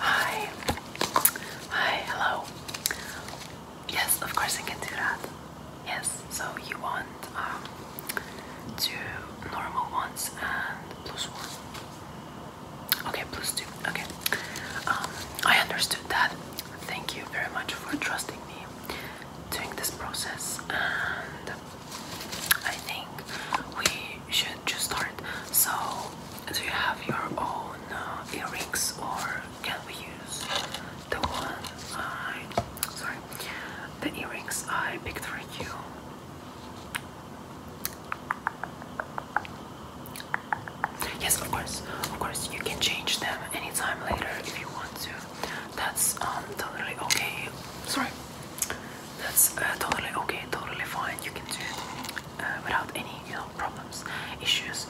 Hi. Hi, hello. Yes, of course I can do that. Yes, so you want um, two normal ones and plus one. Okay, plus two. Okay. Um, I understood that. Thank you very much for trusting me doing this process and I think we should just start. So do you have your own uh, earrings, or can we use the one I, sorry, the earrings I picked for you? Yes, of course, of course, you can change them anytime later if you want to. That's um, totally okay. Sorry, that's uh, totally okay, totally fine. You can do it uh, without any, you know, problems, issues,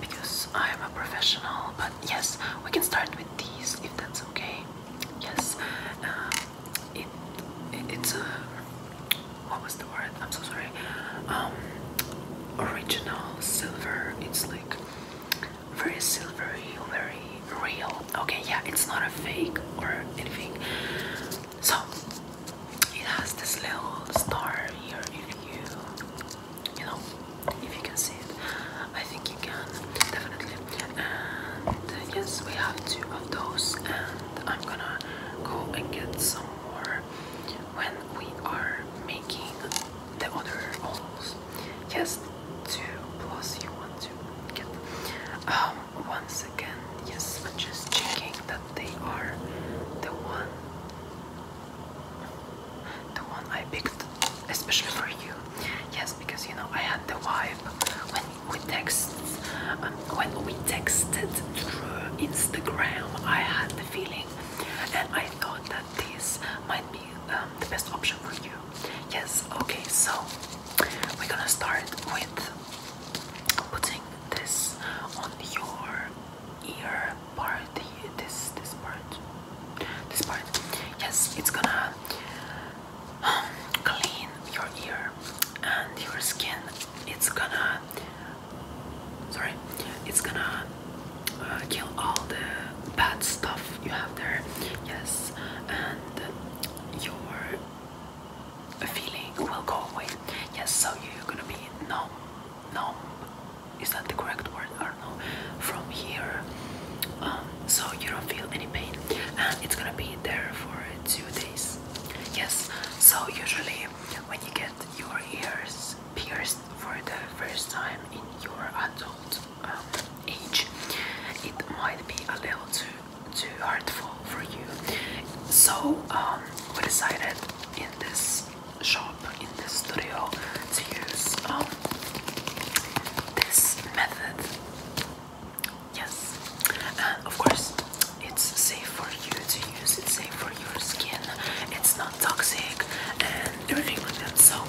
because I am a professional. But yes, we can start with these if that's okay. Yes, uh, it it's a what was the word? I'm so sorry. Um, original silver. It's like very silvery, very real. Okay, yeah, it's not a fake or anything. So it has this little star here if you you know if you can see it. I think you can definitely and uh, yes we have two of those and I'm gonna go and get some more when we are making the other holes. Yes two plus you want to get um once again, yes, I'm just checking that they are the one the one I picked especially for you. Yes, because you know I had the vibe when we text um, when we texted through Instagram. I had the feeling, and I thought that this might be um, the best option for you. Yes, okay, so we're gonna start with putting this on your ear part, this this part, this part. Yes, it's gonna um, clean your ear and your skin. It's gonna, sorry, it's gonna uh, kill all the bad stuff you have there. Yes, and your feeling will go away. Yes, so you're gonna be numb. Numb is that the correct word? I don't know. From here, um, so you don't feel any pain, and it's gonna be there for two days. Yes. So usually, when you get your ears pierced for the first time in your adult um, it might be a little too too hurtful for you. So um, we decided in this shop, in this studio, to use um, this method. Yes, and of course it's safe for you to use. It's safe for your skin. It's not toxic and everything like that. So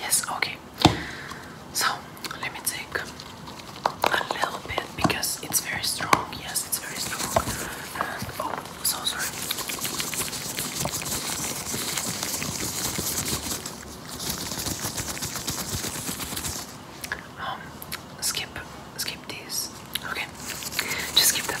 Yes, okay. So let me take a little bit because it's very strong. Yes, it's very strong. oh, so sorry. Um, skip, skip these. Okay, just skip them.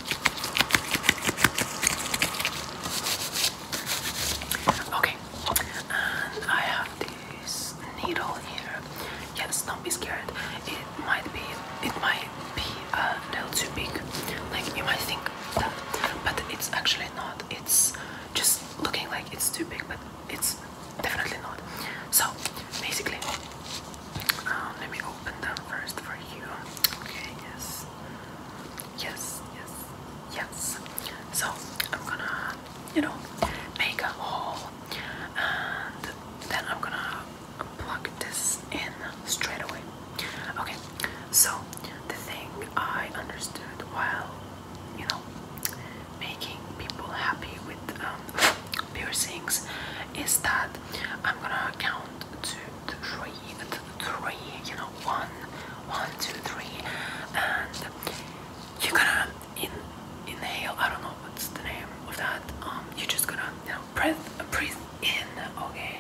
Okay, and I have this needle here. Yes, don't be scared. It might be, it might be a little too big. Like you might think that, but it's actually not. It's just looking like it's too big, but it's definitely not. So basically, um, let me open them first for you. Okay, yes. Yes, yes, yes. So I'm gonna, you know, make a hole and then I'm gonna plug this in straight away. Okay, so the thing I understood while, you know, making people happy with um, piercings is that I'm gonna count to three, you know, one, one, two, three, and you're gonna inhale. I don't know what's the name of that. Um, you're just gonna, you know, breathe, breathe in. Okay.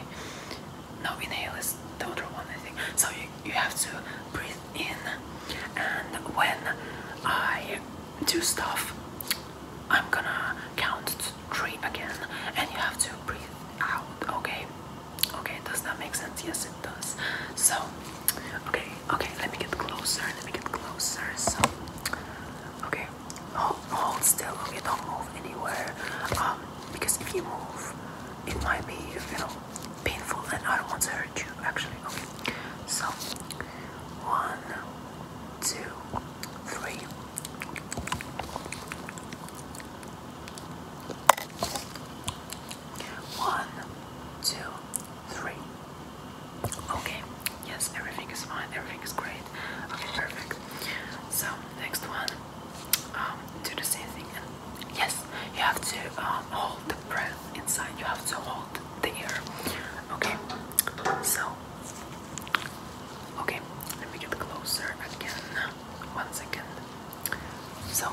No, inhale is the other one, I think. So you you have to breathe in, and when I do stuff, I'm gonna count this again and you have to breathe out okay okay does that make sense yes it does so okay okay let me get closer let me get closer so okay hold, hold still okay don't move anywhere um because if you move it might be you know painful and i don't want to hurt you actually okay so one two three one, two, three. Okay, yes, everything is fine, everything is great. Okay, perfect. So, next one, um, do the same thing. yes, you have to um, hold the breath inside, you have to hold the air. Okay, so Okay, let me get closer again. One second. So,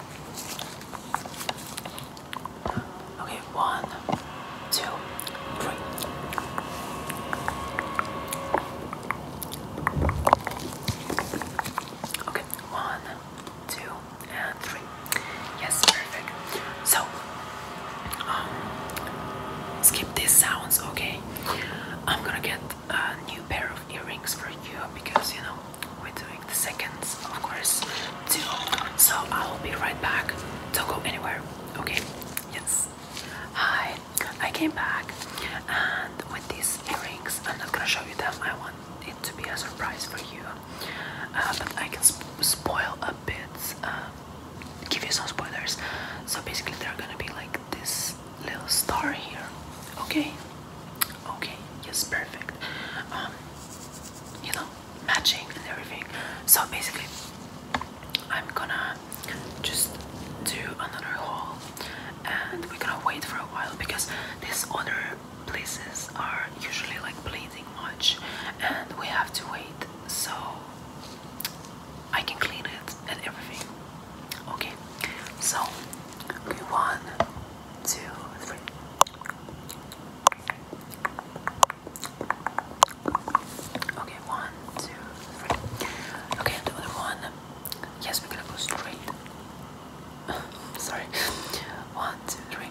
okay, one, two, three. Okay, one, two, and three. Yes, perfect. So, um, skip these sounds, okay? I'm gonna get a new pair of earrings for you because you know we're doing the seconds, of course, too. So I will be right back. Don't go anywhere, okay? Yes. Hi, I came back, and with these earrings, I'm not gonna show you them. I want it to be a surprise for you, uh, but I can spoil a bit. Uh, give you some spoilers. So basically, there are gonna be like this little star here. Okay, okay, yes, perfect. Um, you know, matching and everything. So basically, I'm gonna just do another haul, and we're gonna wait for a while because these other places are usually like bleeding much, and we have to wait so I can clean it and everything. Okay, so okay, one, two, three. Okay, one, two, three. Okay, the other one. Yes, we're gonna go straight. Sorry. One, two, three.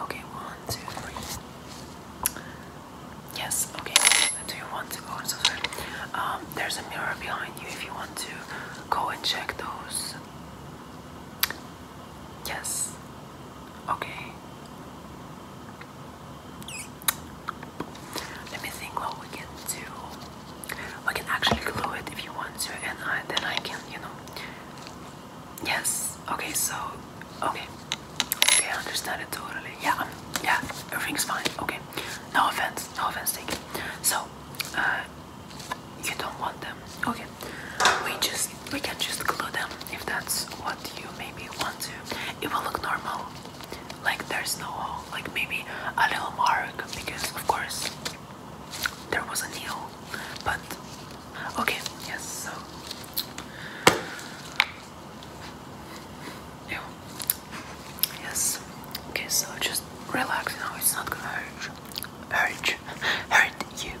Okay, one, two, three. Yes, okay. Do you want to go and subscribe? Um, there's a mirror behind you if you want to go and check those. Yes. Okay. Let me think what we can do. We can actually glue it if you want to, and then I can, you know. Yes. Okay. So, okay. Okay, I understand it totally. Yeah. Um, yeah. Everything's fine. Okay. No offense. No offense taken. So, uh, you don't want them. Okay. We just we can just glue them if that's what you maybe want to. It will look normal like there's no hole, like maybe a little mark because of course there was a nail, but okay, yes, so Ew. yes, okay, so just relax now, it's not gonna hurt, hurt, hurt you.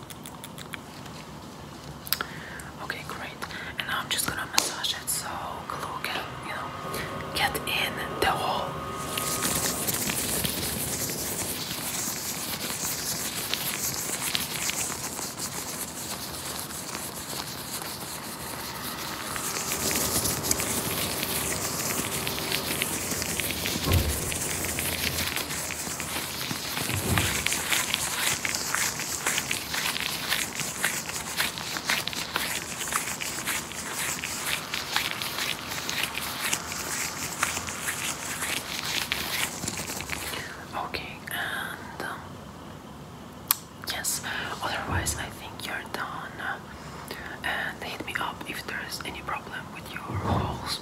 Okay, great. And now I'm just gonna massage it so glue can, you know, get in the hole. Okay, and um, yes, otherwise, I think you're done. And hit me up if there's any problem with your walls.